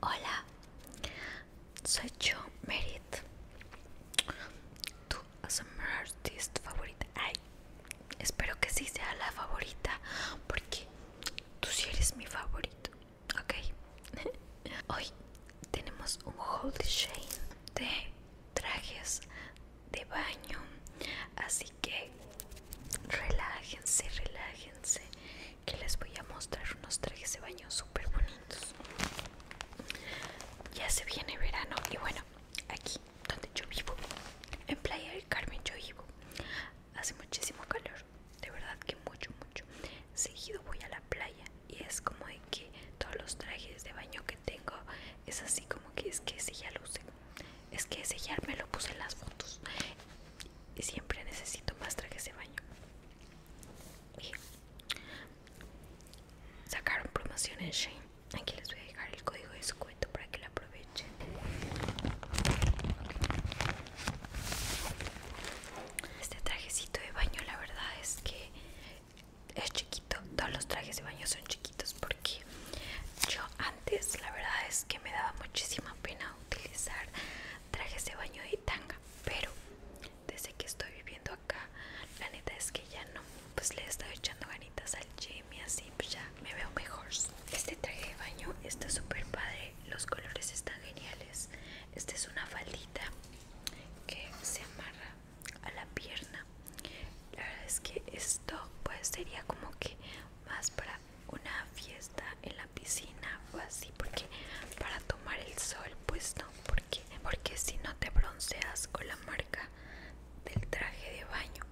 Hola, soy yo, Merit, tu a artist favorita. Ay, espero que sí sea la favorita, porque tú sí eres mi favorito, ¿ok? Hoy tenemos un haul de de trajes de baño así que relájense relájense que les voy a mostrar unos trajes de baño súper bonitos ya se viene verano y bueno aquí donde yo vivo en playa del carmen yo vivo hace muchísimo calor de verdad que mucho mucho seguido voy a la playa y es como de que todos los trajes de baño que tengo es así como que es que si ya lucen es que ese lo puse en las fotos. Y siempre necesito más trajes de baño. sacaron promoción en Shane. Aquí les voy a dejar el código de descuento para que lo aprovechen. Este trajecito de baño, la verdad es que es chiquito, todos los trajes de baño son chiquitos porque yo antes la verdad es que me daba muchísima pena utilizar trajes de baño y tanga, pero desde que estoy viviendo acá, la neta es que ya no, pues le he estado echando ganitas al gym y así, pues ya me veo mejor. Este traje de baño está súper padre, los colores están geniales. Esta es una faldita que se amarra a la pierna la verdad es que esto pues sería como que más para una fiesta en la piscina o así porque para tomar el sol pues no porque porque si no te bronceas con la marca del traje de baño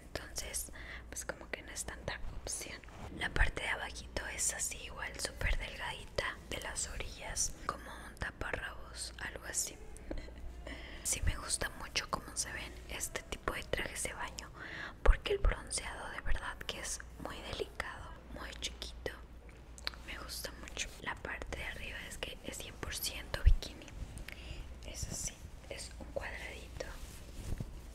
entonces pues como que no es tanta opción la parte de abajito es así igual súper delgadita de las orillas como taparrabos, algo así. si me gusta mucho cómo se ven este tipo de trajes de baño, porque el bronceado de verdad que es muy delicado, muy chiquito. Me gusta mucho. La parte de arriba es que es 100% bikini. Es así, es un cuadradito.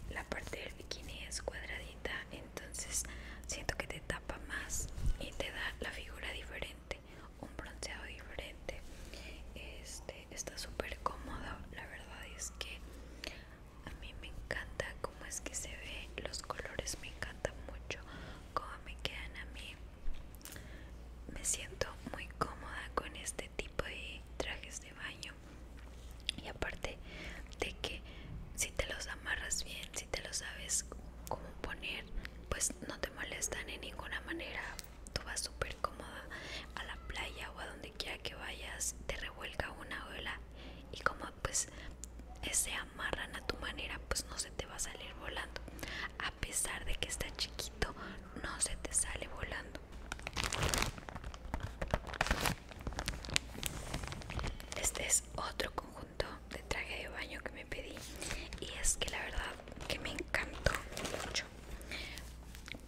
La parte del bikini es cuadradita, entonces siento que te tapa más y te da la figura diferente un bronceado diferente este está súper cómodo la verdad es que a mí me encanta cómo es que se ve los colores me encantan mucho cómo me quedan a mí me siento muy cómoda con este tipo de trajes de baño y aparte de que si te los amarras bien si te los sabes cómo poner pues no te molestan en ninguna manera. Tú vas súper cómoda a la playa o a donde quiera que vayas, te revuelca una ola y como pues se amarran a tu manera, pues no se te va a salir volando. A pesar de que está chiquito, no se te sale volando. Este es otro conjunto de traje de baño que me pedí y es que la verdad que me encantó mucho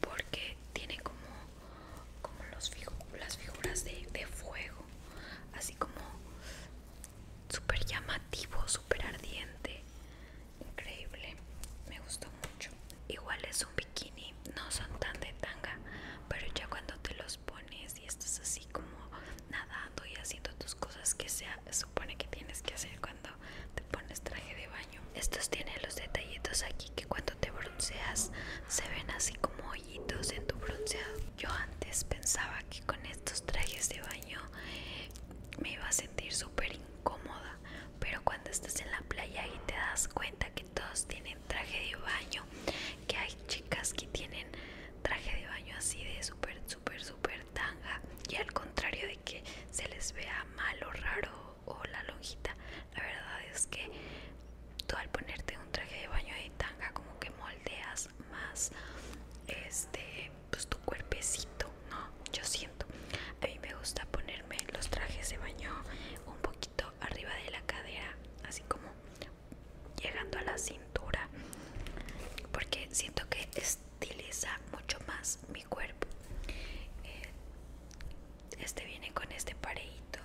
porque tiene como, como los las figuras de, de fuego así como súper llamativo, súper ardiente increíble, me gustó mucho igual es un bikini, no son tan de tanga pero ya cuando te los pones y estás así como nadando y haciendo tus cosas que se supone que tienes que hacer cuando te pones traje de baño. Estos tienen los detallitos aquí que cuando te bronceas se ven así como hoyitos en tu bronceado. Yo antes pensaba que con estos trajes de baño me iba a sentir súper incómoda, pero cuando estás en la playa y te das cuenta que todos tienen traje de baño, que hay chicas que tienen traje de baño así de súper, súper, súper tanga y al contrario de que se les vea mal o raro o la lonjita, la verdad es que tú al ponerte un traje de baño de tanga como que moldeas más este pues tu cuerpecito, ¿no? Yo siento. A mí me gusta ponerme los trajes de baño un poquito arriba de la cadera, así como llegando a la cintura porque siento que estiliza mucho más mi cuerpo eh, este viene con este parejito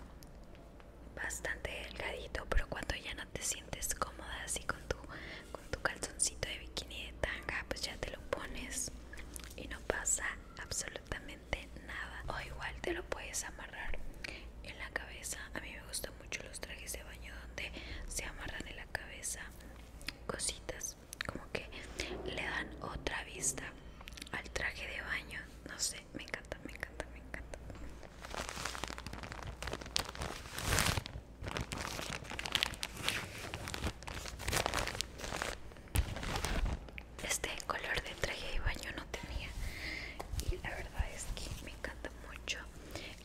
bastante delgadito pero cuando ya no te sientes cómoda así con tu con tu calzoncito de bikini de tanga pues ya te lo pones y no pasa absolutamente nada o igual te lo puedes amarrar en la cabeza a mí me gustó mucho los trajes de baño donde se amarran en la cabeza cositas, como que le dan otra vista al traje de baño. No sé, me encanta, me encanta, me encanta. Este color de traje de baño no tenía y la verdad es que me encanta mucho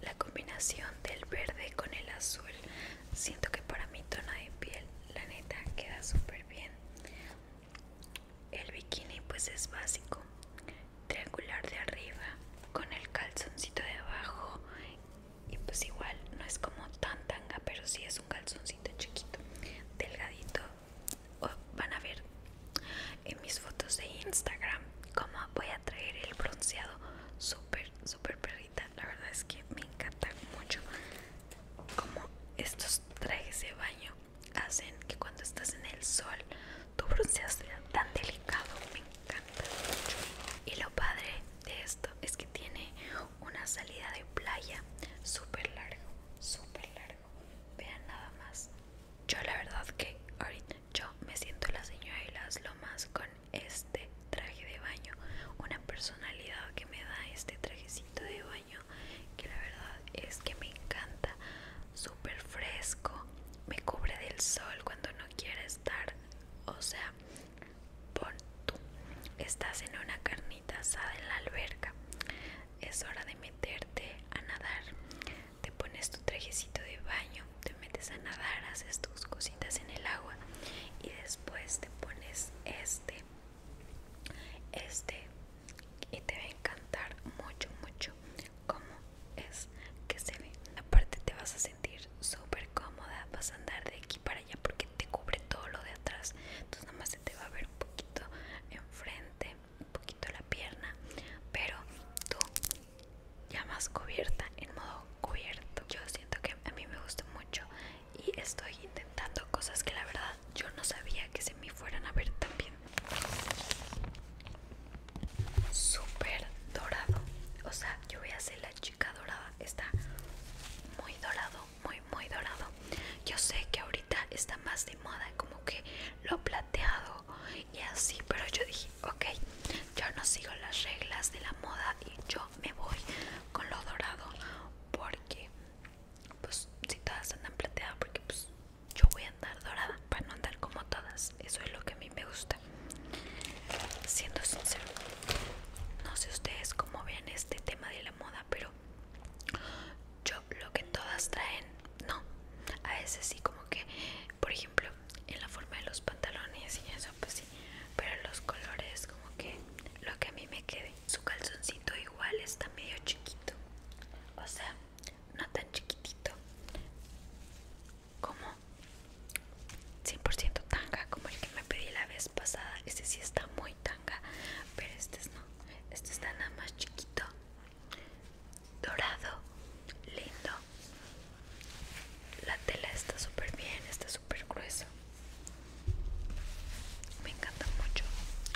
la combinación del verde con el azul. Siento que para mi tono de piel, la neta, queda súper bien. El bikini pues es básico, triangular de arriba con el calzoncito de abajo y pues igual no es como tan tanga, pero sí es un calzoncito chiquito, delgadito Oh, van a ver en mis fotos de Instagram cómo voy a traer el bronceado súper súper perrita la verdad es que me encanta mucho como estos trajes de baño hacen que cuando estás en el sol tu bronceado sea tan delicado me encanta mucho y lo padre de esto es que tiene una salida de playa súper largo súper largo Vean nada más. Yo la verdad que ahorita yo me siento la señora y las lomas con este traje de baño. Una personalidad que me da este trajecito de baño que la verdad es que me encanta. Súper fresco. Me cubre del sol cuando no quiere estar. O sea, pon tú. Estás en una carnita en la alberca. Es hora de meterte a nadar. Te pones tu trajecito de baño, te metes a nadar, haces tus cositas en el agua y después te pones este, este y te va a encantar mucho, mucho cómo es que se ve. Aparte te vas a sentir súper cómoda, vas a andar de aquí para allá porque te cubre todo lo de atrás. Entonces nada más se te va a ver un poquito enfrente un poquito la pierna, pero tú ya más cubierta, en modo cubierto. Yo siento que a mí me gusta mucho y estoy intentando cosas que la verdad yo no sabía que se me fueran a ver también. Súper dorado, o sea, yo voy a ser la chica dorada, está muy dorado, muy muy dorado yo sé que ahorita está más de moda como que lo plateado y así pero yo dije ok yo no sigo las reglas de la moda y yo me voy con lo dorado porque pues si todas andan plateadas porque pues yo voy a andar dorada para no andar como todas eso es lo que a mí me gusta siendo sincero no sé ustedes cómo ven este tema de la moda, pero yo lo que todas traen, no. A veces sí, como que, por ejemplo, en la forma de los pantalones y eso, pues sí. Pero los colores, como que lo que a mí me quede. Su calzoncito igual está medio chiquito. O sea, no tan chiquitito como 100% tanga como el que me pedí la vez pasada. ese sí está muy tanga pero este no este está nada más chiquito dorado lindo la tela está súper bien está súper grueso me encanta mucho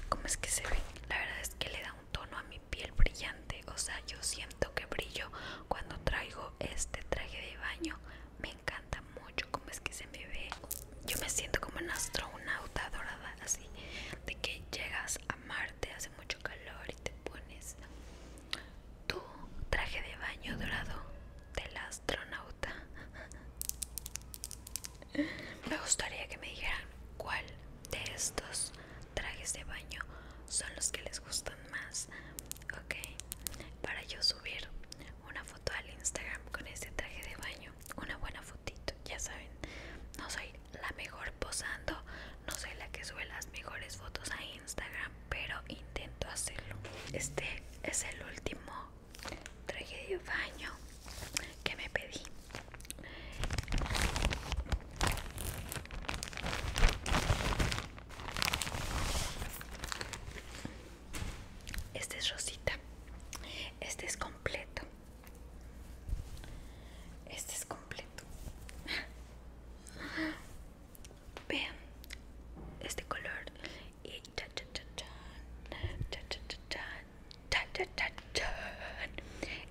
como es que se ve la verdad es que le da un tono a mi piel brillante o sea yo siento que brillo cuando traigo este traje de baño me me encanta mucho cómo es que se me ve. Yo me siento como una astronauta dorada, así de que llegas a Marte, hace mucho calor y te pones tu traje de baño dorado del astronauta. Me gustaría que me dijeran cuál de estos trajes de baño son los que les gustan más, ok, para yo subir una foto al Instagram con este traje de baño, una buena fotito, ya saben, no soy la mejor posando, no soy la que sube las mejores fotos a Instagram, pero intento hacerlo. Este es el último traje de baño que me pedí. Este es rosita. Este es completo. Este es completo. Vean este color. Y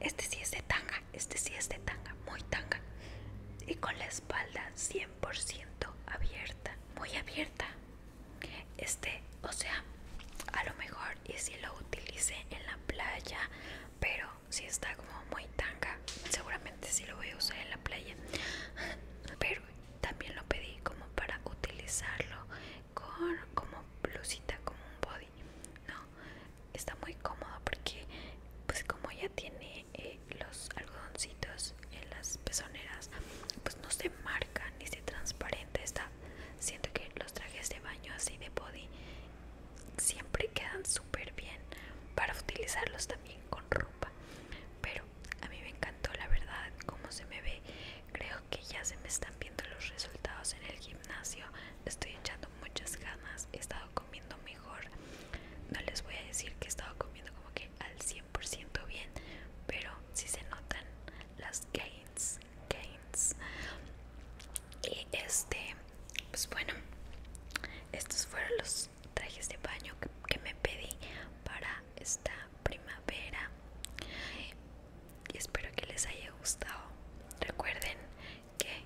Este sí es de tanga. Este sí es de tanga. Muy tanga. Y con la espalda 100% abierta. Muy abierta este o sea a lo mejor y si lo utilicé en la playa pero si está como muy tanga seguramente si lo voy a usar en la playa pero también lo pedí como para utilizarlo con como blusita como un body no está muy cómodo porque pues como ya tiene eh, los algodoncitos en las pezoneras pues no se marcan ni se transparente está siento que los trajes de baño así de body siempre quedan súper bien para utilizarlos también con ropa pero a mí me encantó la verdad Como se me ve creo que ya se me están viendo los resultados en el gimnasio estoy echando muchas ganas he estado comiendo mejor no les voy a decir que he estado comiendo como que al 100% bien, pero si se notan las gains, gains. Y este, pues bueno, estos fueron los trajes de baño que me pedí para esta primavera. Y espero que les haya gustado. Recuerden que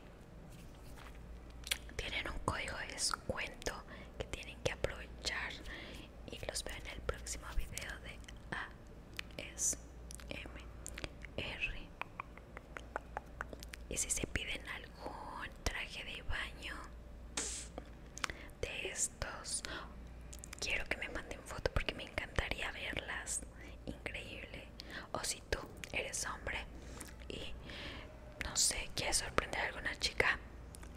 tienen un código de descuento que tienen que aprovechar y los veo en el próximo video de ASMR y si se piden algún traje de baño de estos quiero que me manden foto porque me encantaría verlas increíble o si tú eres hombre y no sé, quieres sorprender a alguna chica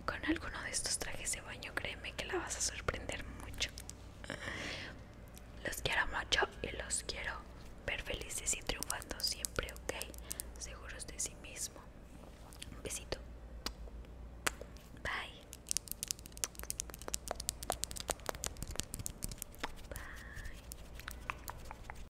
con alguno de estos trajes de baño, créeme que la vas a sorprender mucho. Los quiero mucho y los quiero ver felices y triunfando siempre, ¿ok? Seguros de sí mismo. Un besito. Bye. Bye.